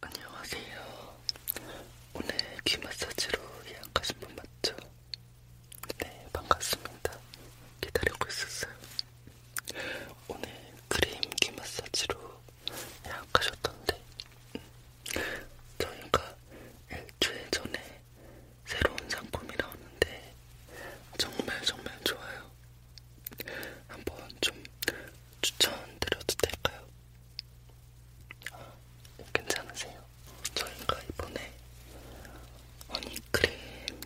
안녕하세요. 오늘 귀 마사지로 예약하신 분 맞죠? 네, 반갑습니다. 기다리고 있었어요. 오늘 크림 귀 마사지로 예약하셨던데, 저희가 일주일 전에 새로운 상품이 나오는데, 정말 정말 좋아요. 한번 좀 추천드려도 될까요? 괜찮으세요? 저희가 이번에 허니크림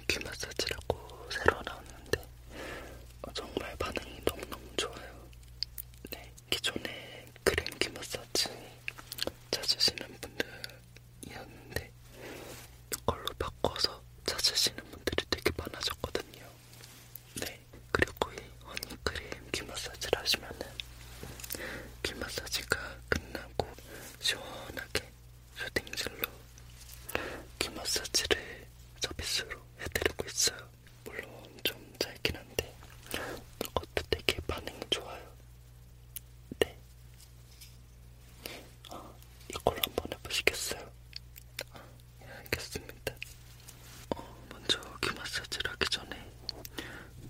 귀 마사지라고 새로 나왔는데 어, 정말 반응이 너무너무 좋아요. 네, 기존에 크림 귀 마사지 찾으시는 분들이었는데 이걸로 바꿔서 찾으시는 분들이 되게 많아졌거든요. 네, 네, 그리고 이 허니크림 귀 마사지를 하시면은 귀 마사지가 끝나고 시원하게 쇼딩젤로 귀 마사지를 서비스로 해드리고 있어요. 물론 좀 짧긴 한데 이것도 되게 반응이 좋아요. 네. 아, 어, 이걸 한번 해보시겠어요? 아, 알겠습니다. 어, 먼저 귀 마사지를 하기 전에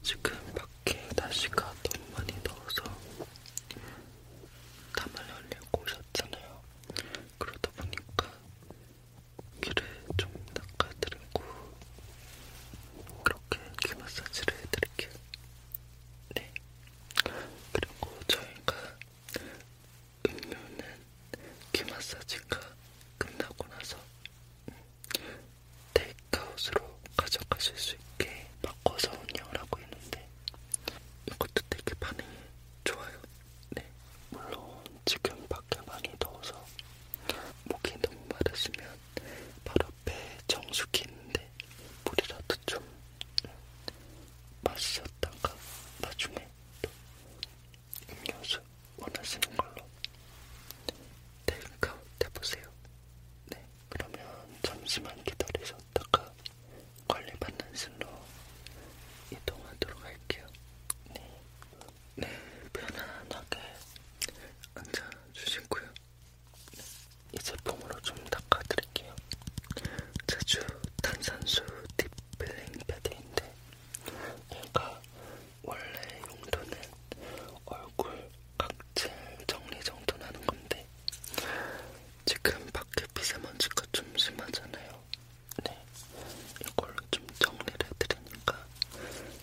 지금 밖에 날씨가 너무 많이 더워서 땀을 흘리고 오셨잖아요. 그러다 보니까 귀를 좀 닦아드리고 그렇게 귀 마사지를 해드릴게요. 네. 그리고 저희가 음료는 귀 마사지가 끝나고 나서 음, 테이크아웃으로 가져가실 수 있게 바꿔서 운영을 하고 있는데 이것도 되게 반응이 좋아요. 네, 물론 지금 밖에 많이 더워서 목이 너무 마르시면 바로 앞에 정수기 있는데 물이라도 좀 음, 마셨다가 나중에 또 음료수 원하시는 걸로 테이크아웃 해보세요. 네, 그러면 잠시만 기다리셨다가 관리받는 실로 이동하도록 할게요. 네, 네 편안하게 앉아주시고요. 네, 이 제품으로 좀 닦아드릴게요. 제주 탄산수 딥 필링 패드인데 내가 원래 용도는 얼굴 각질 정리 정돈 하는 건데 지금 밖에 미세먼지가 좀 심하잖아요. 네, 이걸로 좀 정리를 해드리니까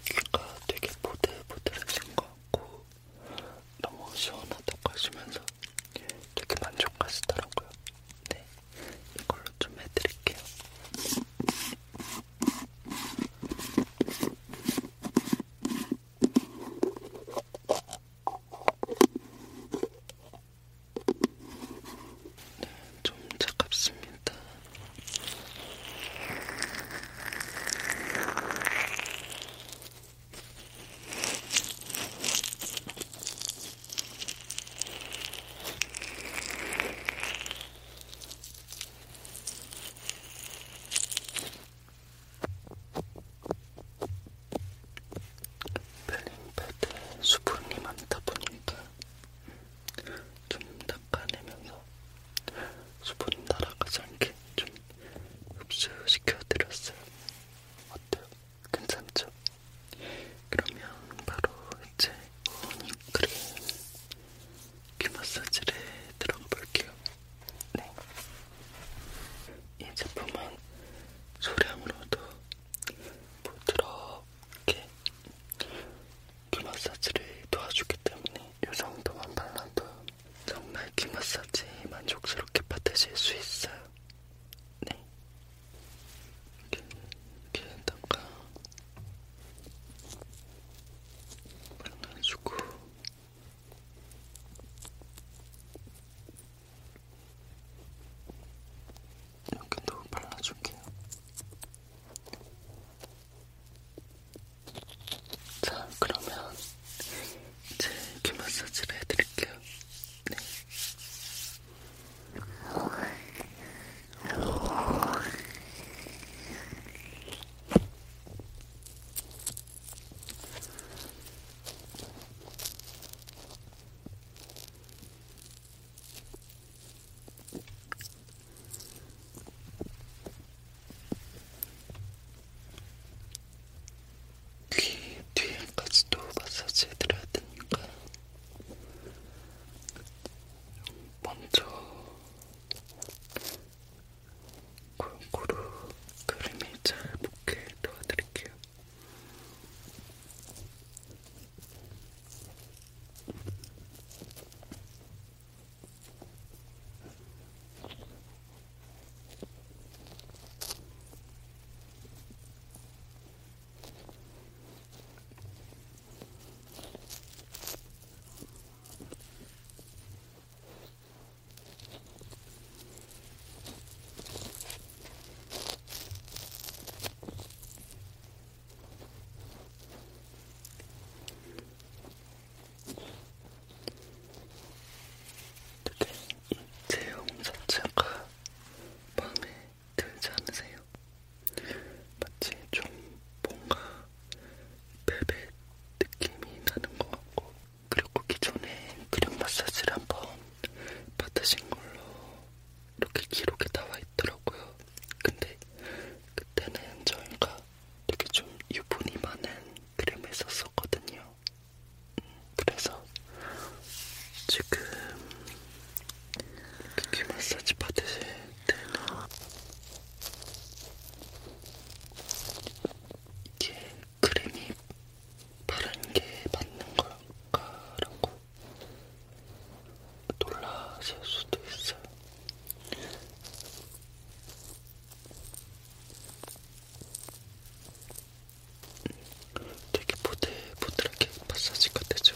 귀가 되게 보들보들해진 것 같고 너무 시원하다고 하시면서 되게 만족하시더라고요. 네, 이걸로 좀 해드릴게요. 좀 차갑습니다. 펠링패드에 수분이 많다 보니까 좀 닦아내면서 수분이 날아가지 않게 좀 흡수시켜드렸어요. 어때요? 괜찮죠? 그러면 바로 이제 오닉 크림 귀 마사지를 들어가 볼게요. 네. 이 제품은 소량으로도 부드럽게 귀 마사지를 도와주기 때문에 이 정도만 발라도 정말 귀 마사지 만족스럽게 받으실 수 있어요. 네. 이렇게, 이렇게 다가 발라주고 여기도 발라줄게요. 자, 그러면 이제 귀 마사지를 해드릴게요. 네. 귀 뒤에까지도 마사지 해드려야 되니까 먼저 골고루 그림이 잘 붙게 도와드릴게요. 되게 이 제형 자체가 마음에 들지 않으세요? 마치 좀 뭔가 벨벳 느낌이 나는 것 같고 그리고 기존에 크림 마사지를 한 번 받으신 걸로 이렇게 기록에 나와 있더라고요. 근데 그때는 저희가 되게 좀 유분이 많은 크림을 썼었거든요. 그래서 지금 귀 마사지 받으실 때는 이게 크림이 바른 게 맞는 걸까라고 놀라실 수도 있어요. 되게 보들보들하게 마사지가 되죠.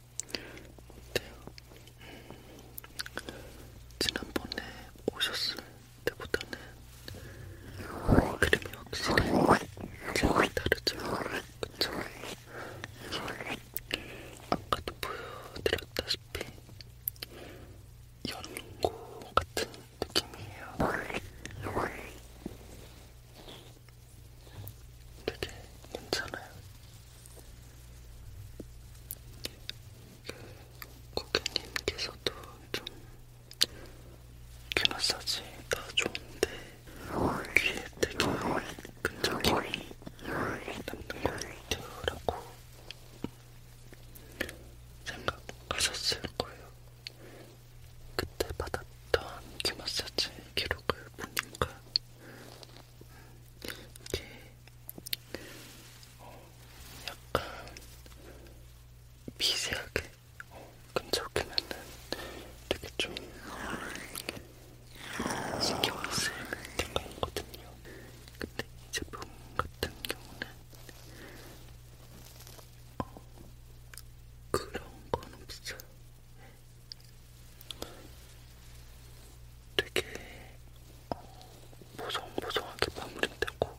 어때요? 음. 지난번에 오셨을 때보다는 그림이 확실히 제일 다르죠? 그쵸? 아까도 보여드렸다시피 연고 같은 느낌이에요. 되게 괜찮아요. 고객님께서도 좀 귀마사지 다 좋은데 귀에 되게 끈적임이 남는 것 같아요라고 생각하셨을 거예요. 그때 받았던 귀마사지 기록을 보니까 이게 어, 약간 미세하게 어, 끈적이면은 되게 좀 신경 쓰일 때가 있거든요. 근데 이 제품 같은 경우는 어, 그런 건 없어요. 되게 보송보송하게 마무리되고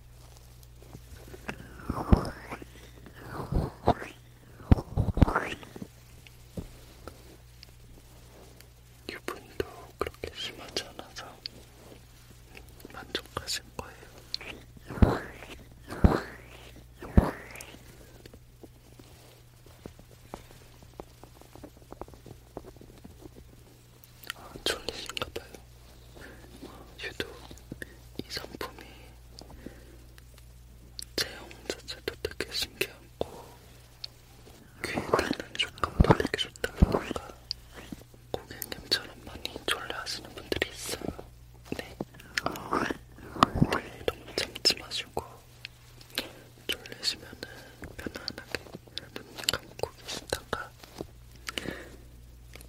유분도 그렇게 심하지 않아서 만족하실 거예요. 아, 졸리신가봐요. 유독 이 상품이 제형 자체도 되게 신기하고 귀에 닿는 조건도 되게 좋다 보니까 고객님처럼 많이 졸려하시는 분들이 있어요. 네. 네. 너무 참지 마시고 졸리시면은 편안하게 눈 감고 계시다가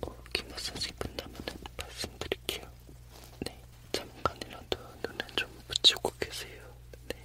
어, 귀 마사지 끝나면은 말씀드릴게요. 네, 잠깐이라도 눈에 좀 붙이고 계세요. 네.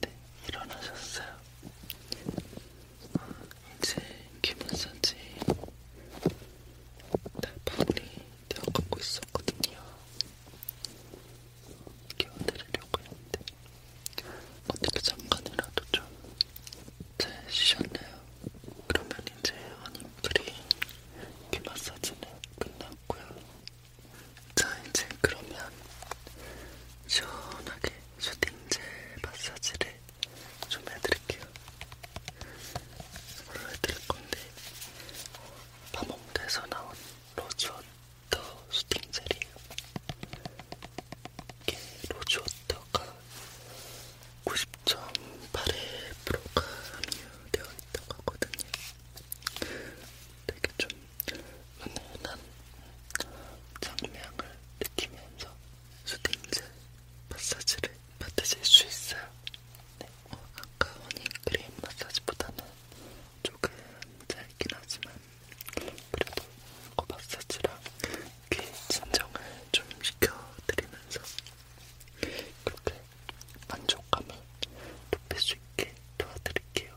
네, 일어나셨어요. 이제 기분사지 달팔이 되어가고 있었거든요. 깨워드리려고 했는데 어떻게 잠깐이라도 좀잘 쉬셨나요? 그러면 이제 허님들이 귀 마사지는 끝났고요. 자 이제 그러면 시원하게 슈팅젤 마사지를 좀 해드릴게요. 이걸로 해드릴 건데 어, 밤홍대에서 나온 로즈워터 슈팅젤이에요. 이게 로즈워터가 90.81%가 함유되어 있다고 하거든요. 되게 좀 은은한 장미향을 느끼면서 수딩젤 마사지를 받으실 수 있어요. 네. 어, 아까 허니크림 마사지보다는 조금 짧긴 하지만 그래도 어 마사지랑 귀 진정을 좀 시켜드리면서 그렇게 만족감을 높일 수 있게 도와드릴게요.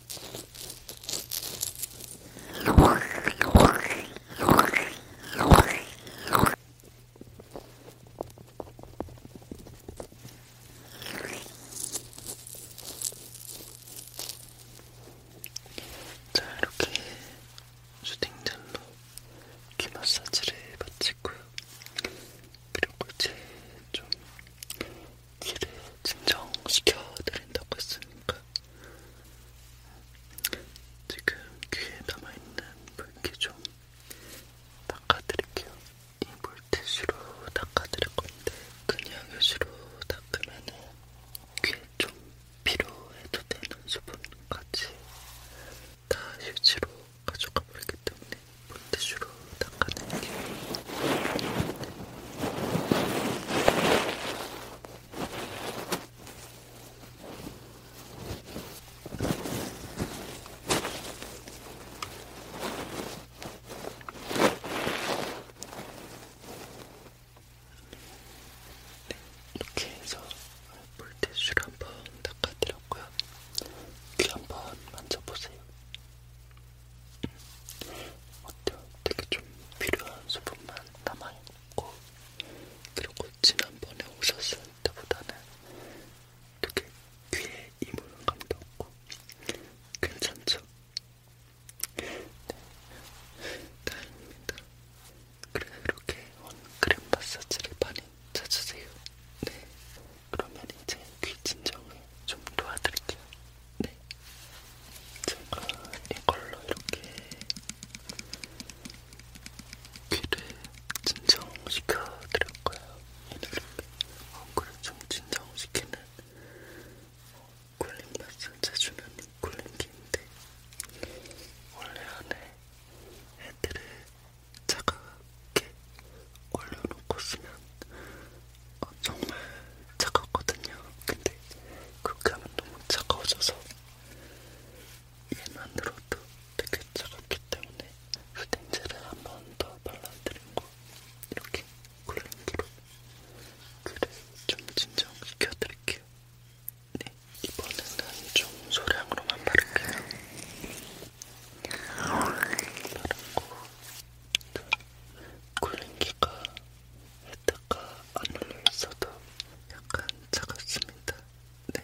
자, 이렇게 수딩젤로 귀 마사지를 마치고요. 그리고 이제 좀 귀를 진정시켜드린다고 했으니까 지금 귀에 남아있는 물기 좀 닦아드릴게요. 이 물티슈로 닦아드릴 건데 그냥 휴지로 닦으면 귀에 좀 필요해도 되는 수분까지 다 휴지로 가져가 버리기 때문에 물티슈로 닦아드릴게요. 네, 이렇게 해서 물티슈로 한번 닦아드렸고요. 귀 한번 만져보세요. 음, 어때요? 되게 좀 필요한 수분만 남아있고 그리고 지난번에 오셨을 때보다는 되게 귀에 이물감도 없고 괜찮죠? 네, 다행입니다. 그래서 이렇게 원크림 마사지를 많이 찾으세요. 네, 그러면 이제 귀 진정을 좀 도와드릴게요. 네. 제가 이걸로 이렇게 귀를 진정시켜 드릴 거예요. 이렇게 얼굴을 좀 진정시키는 굴림 마사지 주는 굴림기인데 원래 안에 애들을 차갑게 올려놓고 쓰면 어, 정말 차갑거든요. 근데 그렇게 하면 너무 차가워져서 얘만으로도 되게 차갑기 때문에 휴대인제를 한 번 더 발라드리고 이렇게 굴림기로 귀를 좀 진정시켜드릴게요. 네, 이번에는 좀 소량으로만 바를게요. 바르고 굴림기가 했다가 안 눌려 있어도 약간 차갑습니다. 네.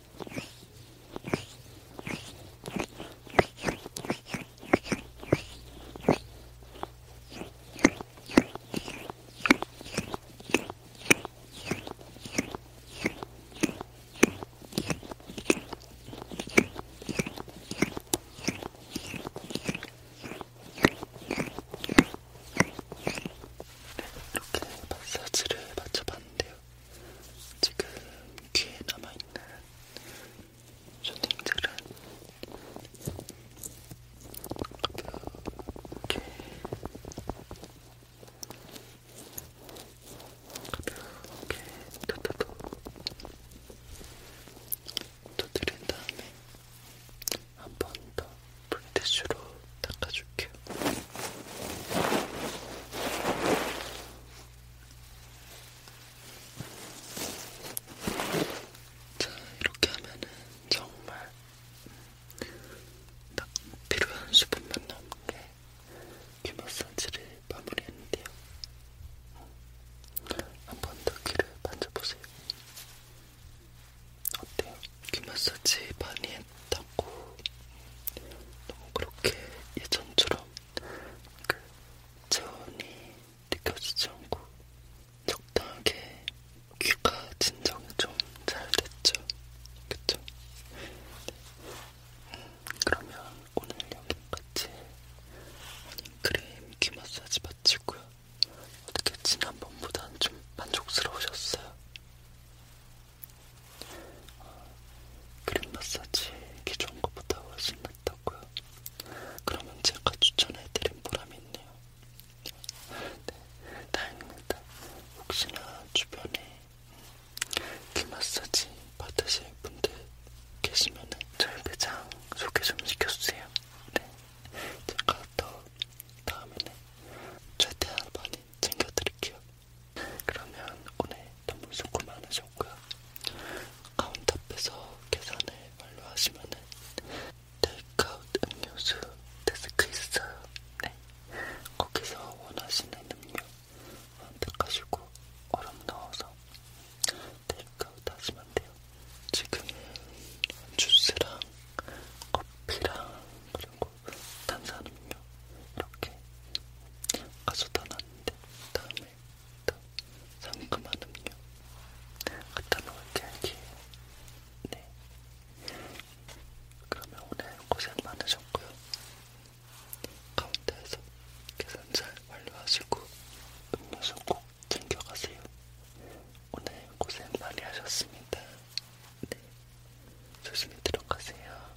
네, 이렇게 마사지를 맞춰봤는데요. 지금 귀에 남아있는 쇼팅들은 가볍게 가볍게 터터도 터뜨린 다음에 한 번더 물티슈로 닦아줄게요. 자, 이렇게 하면은 정말 딱 필요한 수분만 남은 게귀 마사지를 마무리했는데요. 한번 더 귀를 만져보세요. 어때요? 귀 마사지 많이 했다. 없고 너무 그렇게 예전처럼 그 체온이 느껴지지 않고 적당하게 귀가 진정이 좀 잘 됐죠. 그쵸? 음, 그러면 오늘 여기까지 크림 귀 마사지 마치고요. 어떻게 지난번보단 좀 만족스러우셨어요? 그림 마사지 기존 것보다 훨씬 낫다고요? 그러면 제가 추천해드린 보람이 있네요. 네, 다행입니다. 혹시나 주변에 귀 마사지 받으실 분들 계시면 저희 매장 소개 좀 시켜주세요. 네, 제가 더 다음에는 최대한 많이 챙겨드릴게요. 그러면 오늘 단품 수고 많으셨고요. 카운터 앞에서 계산을 완료하시면은 테이크아웃 음료수 데스크 있어요. 네. 거기서 원하시는 음료 선택하시고 얼음 넣어서 테이크아웃 하시면 돼요. 지금 주스랑 커피랑 그리고 탄산음료 이렇게 가져다 놨는데 다음에 또 상큼한 음료 갖다 놓을게 이렇게 네 그러면 오늘 고생 많으셨고요 카운터에서 계산 잘 완료하시고 음료수 꼭 챙겨가세요 오늘 고생 많이 하셨습니다 네 조심히 들어가세요